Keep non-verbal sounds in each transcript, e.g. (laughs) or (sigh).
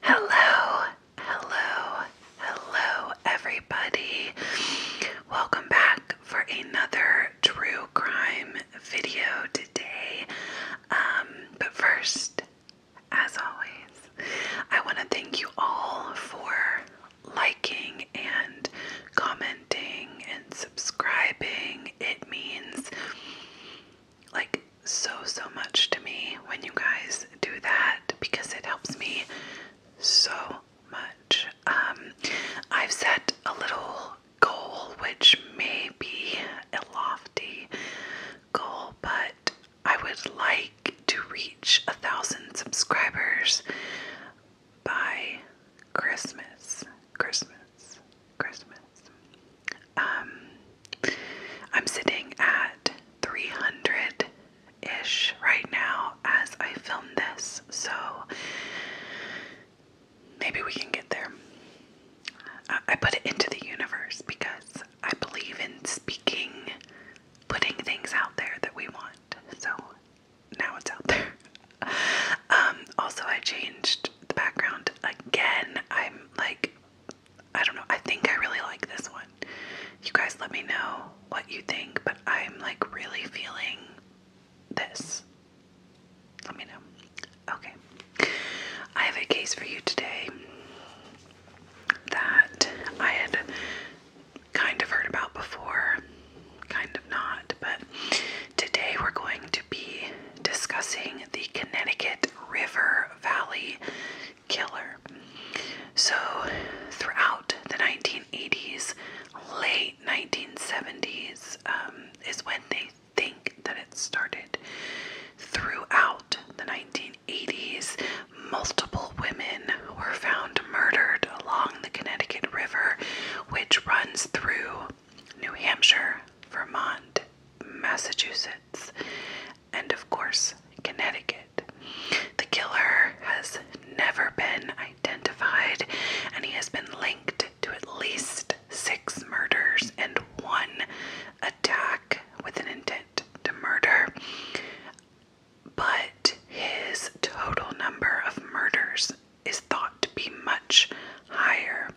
Hello, hello, hello, everybody. Welcome back for another true crime video today. Um, but first, as always, I want to thank you all for liking and commenting and subscribing. It means like so so much to me when you guys do that because it helps me so much. Um, I've set a little goal which may be a lofty goal, but I would like to reach a thousand subscribers by Christmas. Christmas. Christmas. Um, I'm sitting at 300 ish right now as I film this, so maybe we can get there. I, put it into the universe because I believe in speaking, putting things out there that we want, so now it's out there. (laughs) Um, also, I changed the background again. I'm like I don't know. I think I really like this one. You guys let me know what you think, but I'm like really feeling this. Let me know. Okay. I have a case for you today that I had kind of heard about before, kind of not, but today we're going to be discussing the Connecticut River Valley killer. So, throughout the 1980s, late 1970s um, is when they think that it started. Throughout the 1980s, multiple women were found murdered along the Connecticut River, which runs through New Hampshire, Vermont, Massachusetts, and of course, Connecticut. The killer has never been identified, and he has been linked to at least six murders and one attack with an intent to murder. But his total number of murders is thought to be much higher.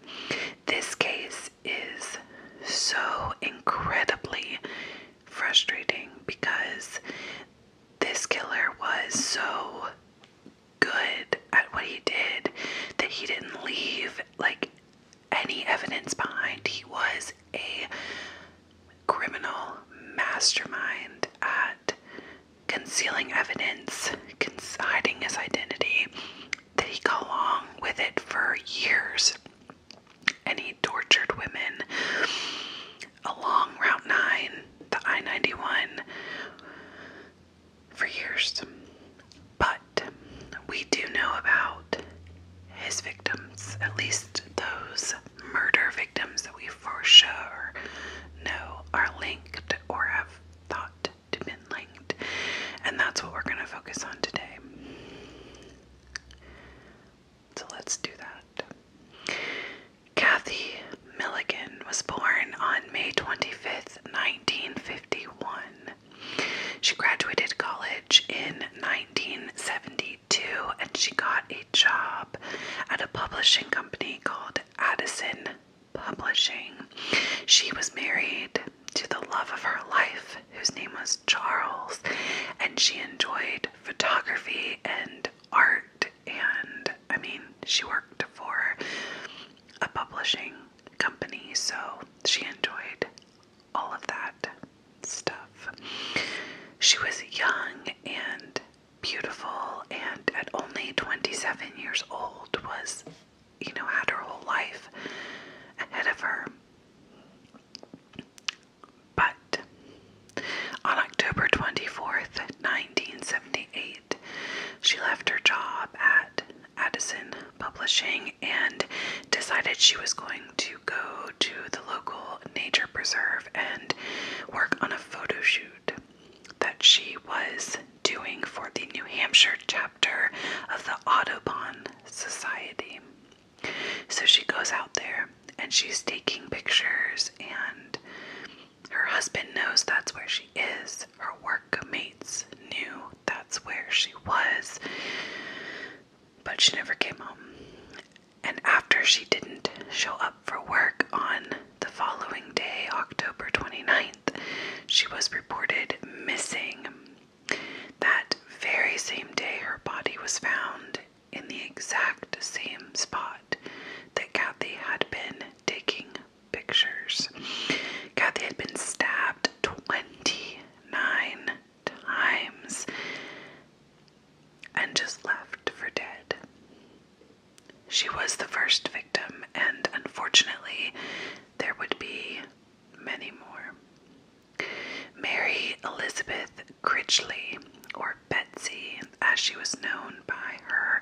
This case is so incredibly frustrating because this killer was so good at what he did that he didn't leave like any evidence behind. He was a criminal mastermind at concealing evidence, concealing his identity, that he got along with it for years and he tortured women along Route 9, the I 91, for years. But we do know about his victims, at least those murder victims that we for sure know are linked or have thought to been linked. And that's what we're going to focus on today. So let's do that. Kathy Milligan was born on May 25th, 1951. She graduated college in 1972 and she got a job at a publishing company called Addison Publishing. She was married to the love of her life, whose name was Charles, and she enjoyed photography and art. And I mean, she worked for a publishing company, so she enjoyed all of that stuff. She was young and beautiful, and at only 27 years old, was you know, had her whole life ahead of her. But on October 24th, 1978, she left her job at Addison Publishing and decided she was going to go to the local nature preserve and work on a photo shoot that she was doing for the New Hampshire chapter of the Audubon Society. So she goes out there and she's taking pictures, and her husband knows that's where she is. Her workmates knew that's where she was, but she never came home. And after she didn't show up for work on the following day, October 29th, she was reported missing that very same day, her body was found in the exact same spot that Kathy had been taking pictures. Kathy had been stabbed 29 times and just left for dead. She was the first victim, and unfortunately, there would be many more. Mary Elizabeth Critchley, or Betsy, as she was known by her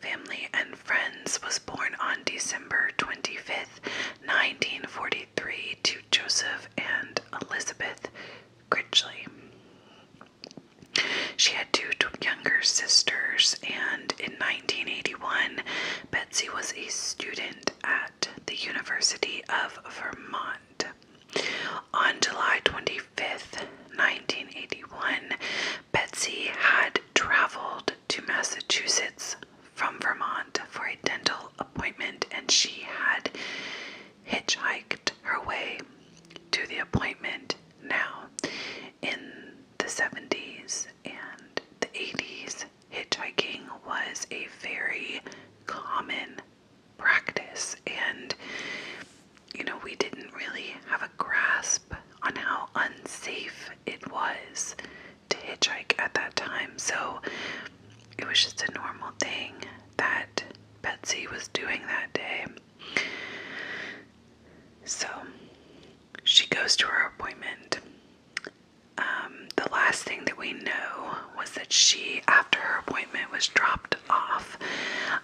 family and friends, was born on December 25th, 1943, to Joseph and Elizabeth Critchley. She had two younger sisters, and in 1981, Betsy was a student at the University of Vermont. On July 25th, 1981, Betsy had traveled to Massachusetts from Vermont for a dental appointment and she had hitchhiked her way to the appointment now in the 70s and the 80s hitchhiking was a very common practice, and you know, we didn't really have a grasp on how unsafe it was to hitchhike at that time, so it was just a normal thing that Betsy was doing that day. So she goes to her appointment um, the last thing that we know was that she, after her appointment, was dropped off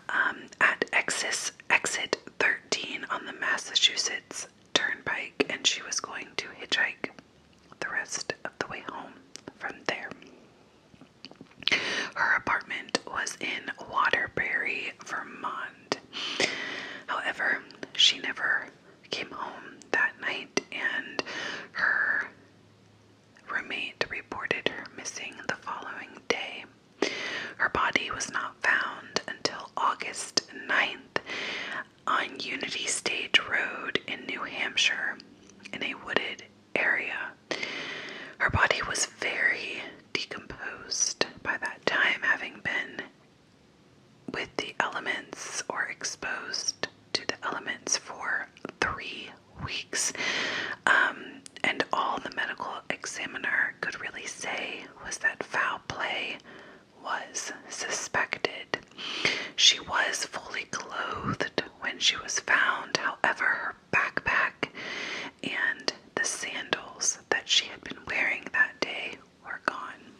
um, at Exis, exit 13 on the Massachusetts Turnpike, and she was going to hitchhike the rest of the way home from there. Her apartment was in Waterbury, Vermont. However, she never came home that night and her roommate reported her missing the following day. Her body was not found until August 9th on Unity Stage Road in New Hampshire in a wooded area. Her body was very decomposed by that time, having been with the elements or exposed to the elements for three weeks. Um, and all the medical examiner could really say was that foul play was suspected. She was fully clothed when she was found, however, her backpack and the sandals that she had been wearing that day were gone.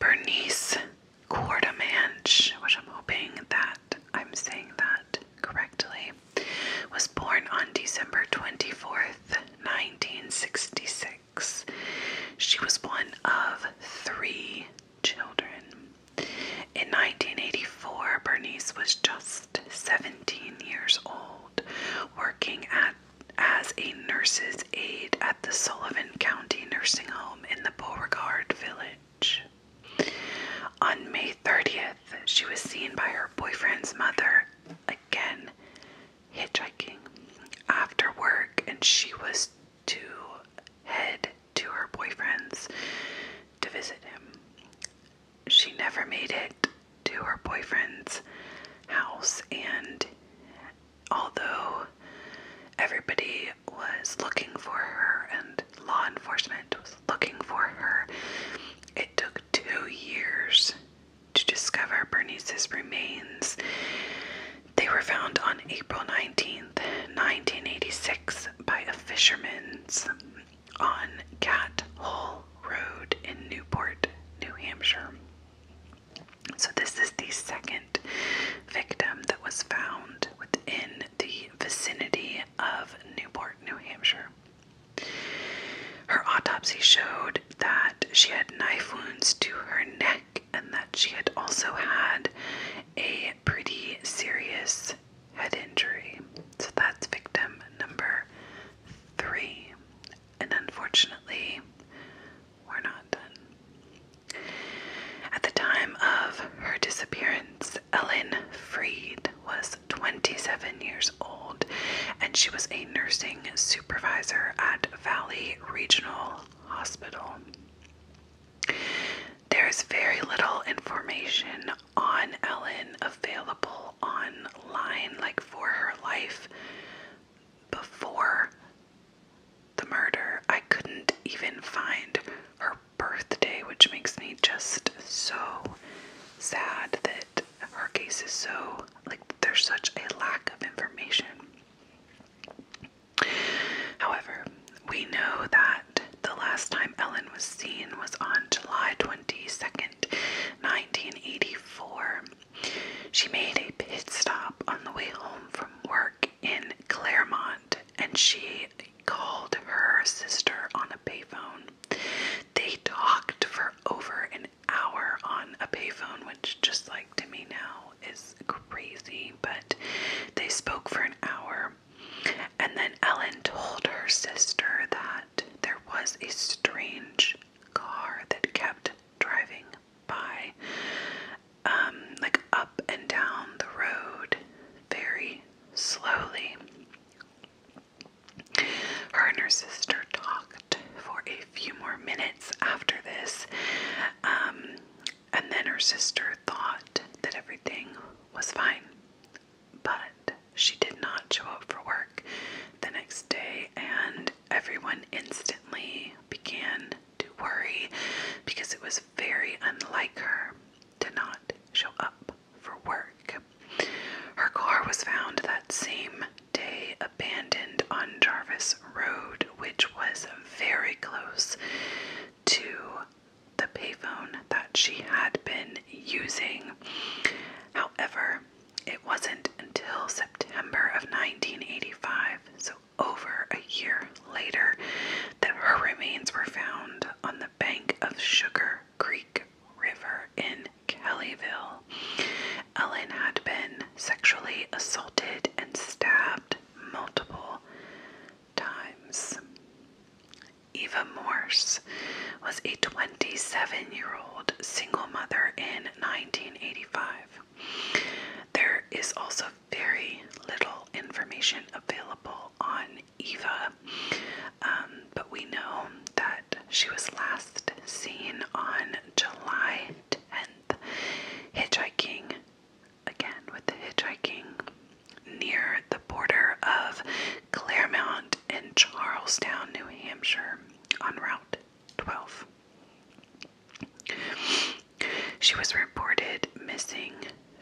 Bernice Quartermanch, which I'm hoping that I'm saying that correctly, was born on December 24th, 1966. She was one of three children. In 1984, Bernice was just 17 years old, working at as a nurse's aide at the Sullivan County Nursing Home in the Beauregard Village. On May 30th, she was seen by her boyfriend's mother again hitchhiking after work, and she was to head to her boyfriend's to visit him. She never made it to her boyfriend's house and although everybody was looking for her and law enforcement was looking for her, it took two years to discover Bernice's remains. They were found on April 19th, 1986, by a fisherman's on Cat Hole Road in Newport, New Hampshire. So, this is the second victim that was found within the vicinity of Newport, New Hampshire. Her autopsy showed that she had knife wounds to her neck and that she had also had a pretty serious head injury. So that's victim number three. And unfortunately, were not done. At the time of her disappearance, Ellen Freed was 27 years old and she was a nursing supervisor at Valley Regional Hospital. There is very little information on Ellen available online, like for her life before the murder. I couldn't even find her birthday, which makes me just so sad that her case is so like there's such a lack of information. However, we know that the last time Ellen was seen was on July 22nd, 1984, she made a pit stop on the way home from work in Claremont and she called her sister on a payphone. They talked for over an hour on a payphone, which, just like to me now, is crazy, but they spoke for an hour. And then Ellen told her sister that there was a strange car that kept driving by. Um, like up and down the road very slowly. Her and her sister talked for a few more minutes after this, um, and then her sister thought that everything was fine, but she did not show up for work the next day, and everyone instantly began to worry because it was very unlike her to not show up for work. Her car was found that same day abandoned on Jarvis Road, which was very close to the payphone that she had been using. However, it wasn't until September of 1985, so over a year later that her remains were found on the bank of Sugar Creek River in Kellyville. Ellen had been sexually assaulted and stabbed multiple times. Eva Morse was a 27 year old single mother in 1985. There is also very little information available on Eva, um, but we know that she was last seen on July 10th, hitchhiking, again with the hitchhiking, near the border of Claremont and Charlestown, New Hampshire, on Route 12. She was reported missing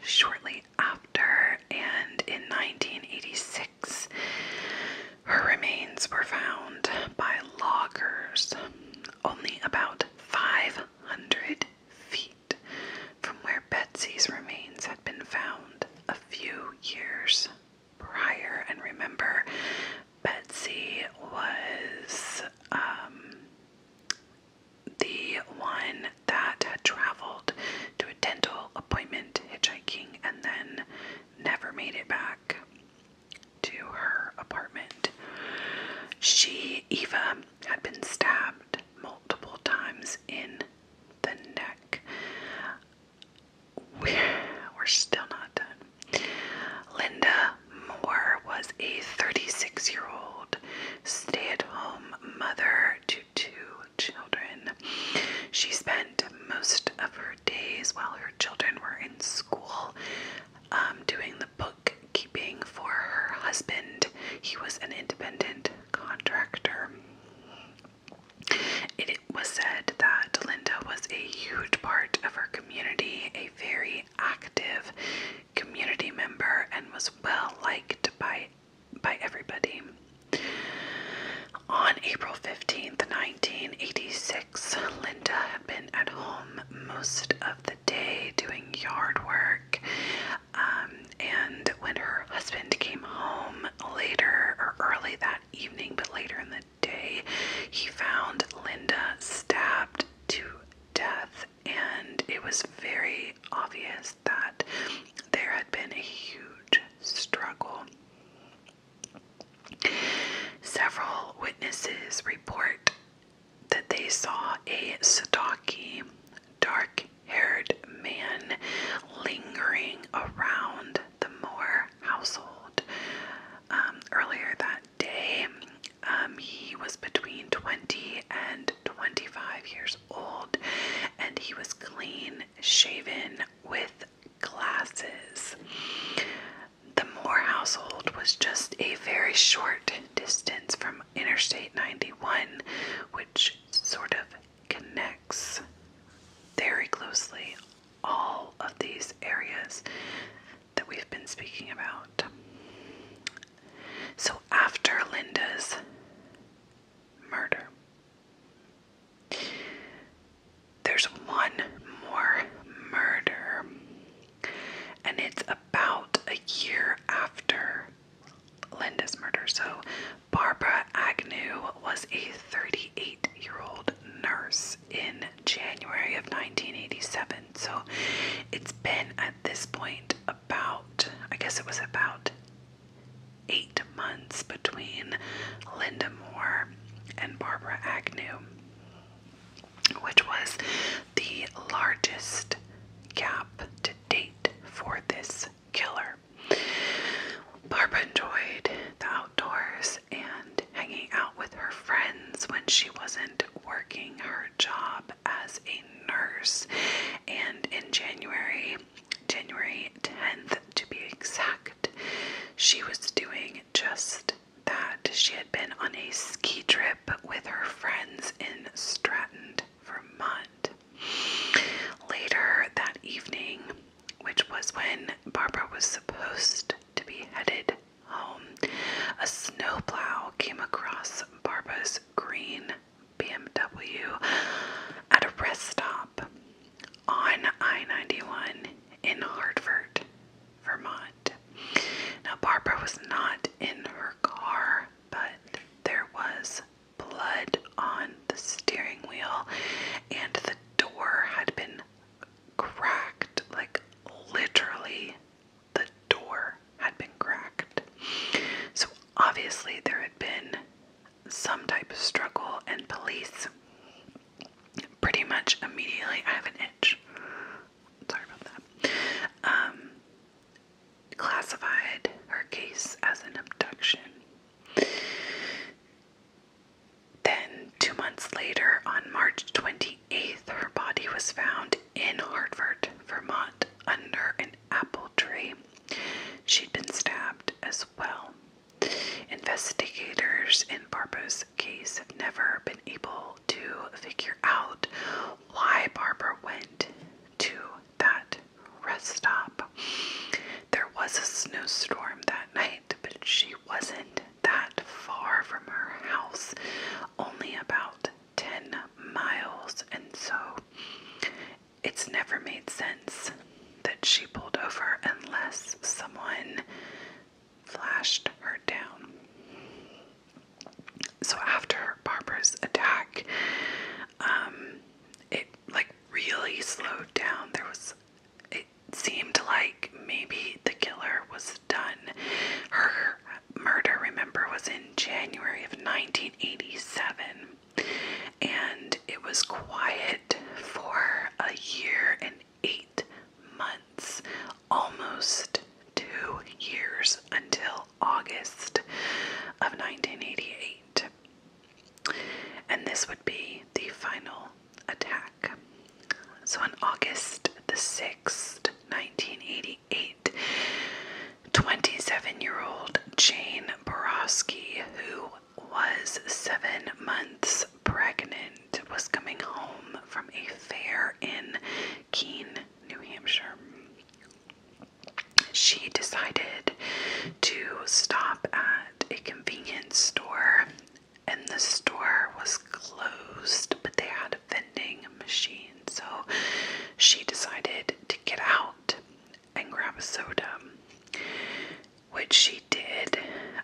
shortly after, and in 1986, her remains were found by loggers only about 500 feet from where Betsy's remains had been found a few years prior. And remember, Betsy was um, the one that had traveled to a dental appointment hitchhiking and then never made it back to her apartment. She, Eva, had been stabbed multiple times in the neck. we're still not done. Linda Moore was a 36 year old stay at home mother to two children. She spent most of her days while her children were in school um, doing the bookkeeping for her husband. He was an independent contractor. It was said that Linda was a huge part of her community, a very active community member and was well liked by by everybody. On April 15th, 1986, Linda had been at home most of the day doing yard work. Um, and when her husband came home later or early that evening, but later in the day, he found Linda stabbed to death, and it was very obvious that there had been a huge struggle. Several witnesses report that they saw a stocky, dark haired man lingering around the Moore household um, earlier that day. Um, he was between 20 and 25 years old, and he was clean shaven with glasses. The Moore household was just a very short distance from Interstate 91, which sort of connects very closely all of these areas that we've been speaking about. So, after Linda's murder, there's one more murder, and it's about a year after Linda's murder. So, Barbara Agnew was a 38 year old nurse in January of 1987. So it's been at this point about, I guess it was about eight months between Linda Moore and Barbara Agnew, which was the largest gap to date for this killer. Barbara enjoyed the outdoors and hanging out with her friends when she wasn't working her job as a nurse. And in January, January 10th to be exact, she was doing just that. She had been on a ski trip with her friends in Stratton, Vermont. Later that evening, which was when Barbara was supposed to be headed home, a snowplow came across Barbara's green BMW at a rest stop on I 91 in Hartford, Vermont. Now, Barbara was not in her car, but there was blood on the steering wheel, and the door had been cracked like literally the door had been cracked. So obviously, there had been some type of struggle, and police pretty much immediately. I have an itch. Sorry about that. Um, classified her case as an abduction. Then, two months later, on March 28, 8th, her body was found in Hartford, Vermont, under an apple tree. She'd been stabbed as well. Investigators in Barbara's case have never been able to figure out why Barbara went to that rest stop. There was a snowstorm that night, but she wasn't that far from her house, only about 10 miles, and so it's never made sense that she pulled over unless someone flashed her down. So after Barbara's attack, um, it like really slowed down. There was, it seemed like maybe the killer was done. Her murder, remember, was in January of 1987, and it was quiet for a year and eight months, almost two years until August of 1988. And this would be the final attack. So on August the 6th, 1988, 27 year old Jane Borowski, who was seven months pregnant, was coming home from a fair in Keene, New Hampshire. She decided to stop at a convenience store and the store was closed, but they had a vending machine. So she decided to get out and grab a soda, which she did.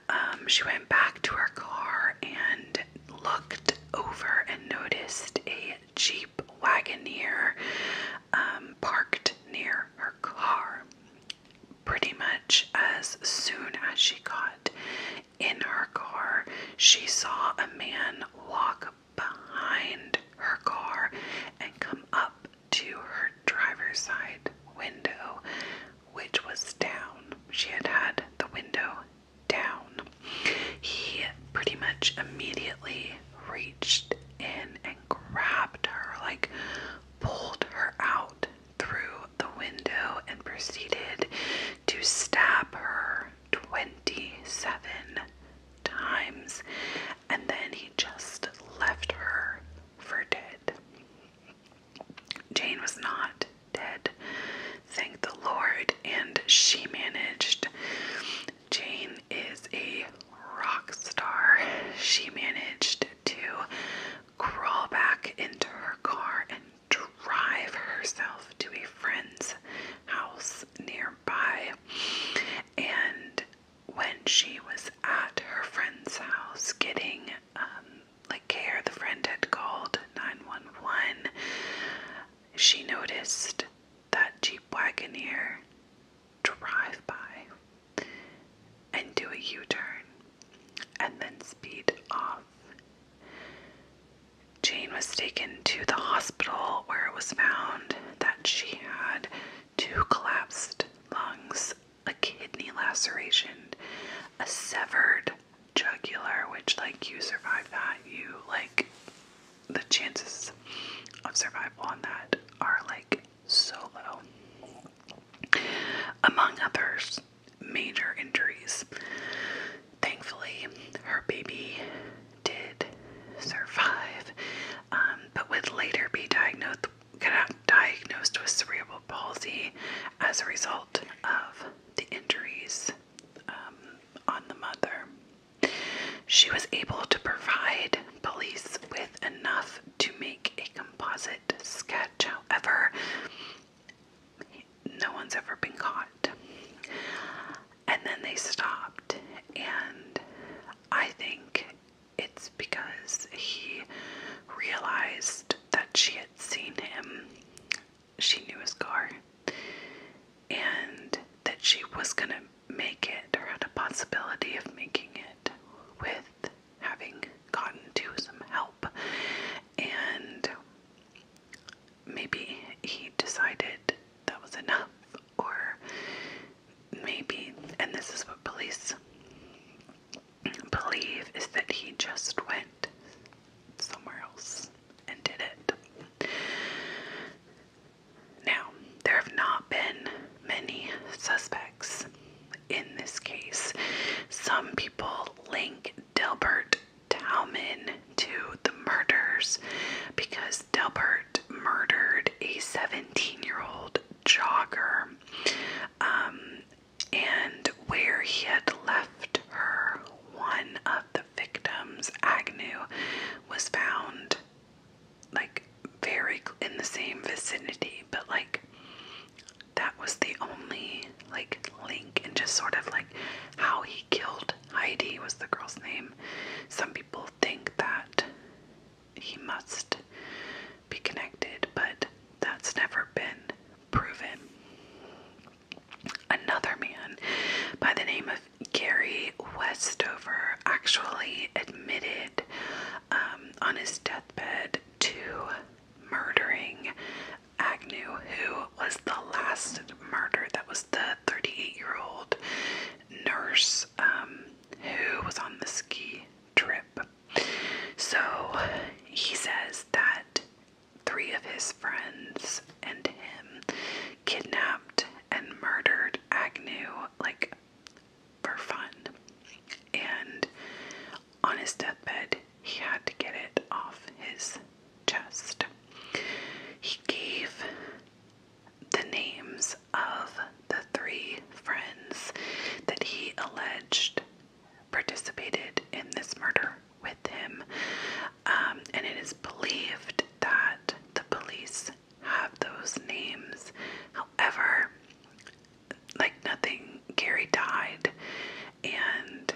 Um, she went back to her car and looked over and noticed a Jeep Wagoneer um, parked near her car. Pretty much as soon as she got in her car, she saw a man walk behind her car and come up to her driver's side window, which was down. She had had the window down. He pretty much immediately reached in and grabbed her, like pulled her out through the window and proceeded to stab her 27 times, and then he just left her for dead. Jane was not dead, thank the Lord, and she managed. Jane is a rock star. She managed to crawl back into her car and drive herself to a friend's house nearby. And when she was at her friend's house getting um, like care, the friend had called 911. She noticed that Jeep Wagoneer drive by and do a U turn and then speed off. Jane was taken to the hospital where it was found that she had two collapsed lungs, a kidney laceration, a severed jugular, which, like, you survive that, you, like, the chances of survival on that are, like, so low. Among others, major injuries. Thankfully, her baby did survive, um, but would later be diagnosed diagnosed with cerebral palsy as a result of the injuries um, on the mother. She was able to provide police with enough to make a composite sketch. However, no one's ever been caught. And then they stopped, and I think it's because he realized that she had seen him. She knew his car and that she was going to make it or had a possibility of making it with having gotten to some help. And maybe he decided that was enough, or maybe, and this is what police believe, is that he just went somewhere else and did it. Now, there have not been many suspects in this case. Some people link Delbert Talman to the murders because Delbert murdered a 17 year old jogger um, and where he had left her, one of the victims, Agnew, was found like very in the same vicinity, but like that was the only like link and just sort of like how he killed Heidi was the girl's name. Some people think that he must be connected, but that's never been proven. Another man by the name of Gary Westover actually admitted um, on his deathbed to murdering Agnew, who was the last murder. That was the 38 year old nurse um, who was on the ski trip. So he says that three of his friends and him kidnapped and murdered Agnew, like for fun. And on his deathbed, he had to get it off his chest. He gave the names of the three friends that he alleged participated in this murder with him, um, and it is believed that the police have those names. However, like nothing, Gary died, and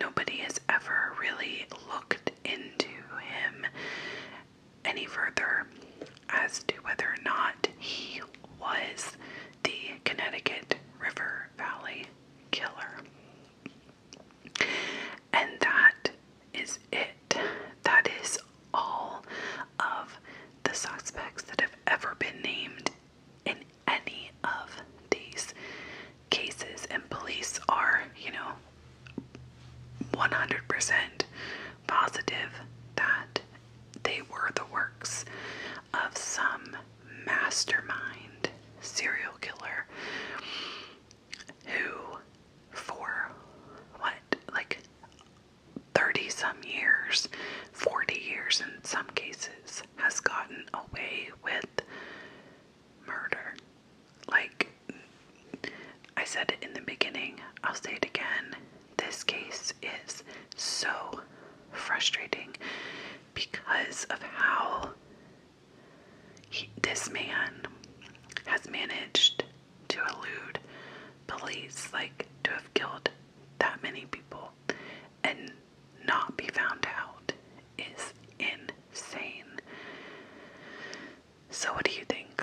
nobody has ever really looked into him any further as to whether or not he was the Connecticut River Valley killer. And that is it. That is all of the suspects that have ever been named in any of these cases, and police are, you know, 100% positive that they were the works of some mastermind serial killer who, for what, like 30 some years, 40 years in some cases, has gotten away with murder. Like I said in the beginning, I'll say it again. This case is so frustrating because of how this man has managed to elude police, like to have killed that many people and not be found out is insane. So, what do you think?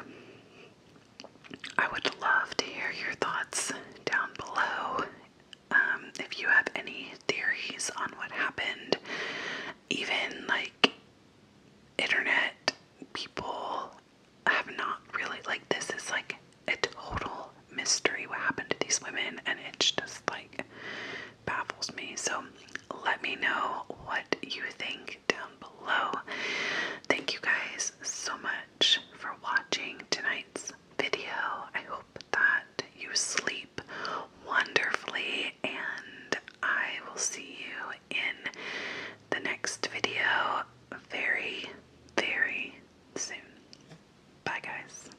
I would love to hear your thoughts down below. Um, if you have any theories on what happened, even like internet people have not really, like, this is like a total mystery what happened to these women, and it's just like baffles me. So let me know what you think down below. Thank you guys so much for watching tonight's video. I hope that you sleep wonderfully, and I will see you in the next video very, very soon. Bye, guys.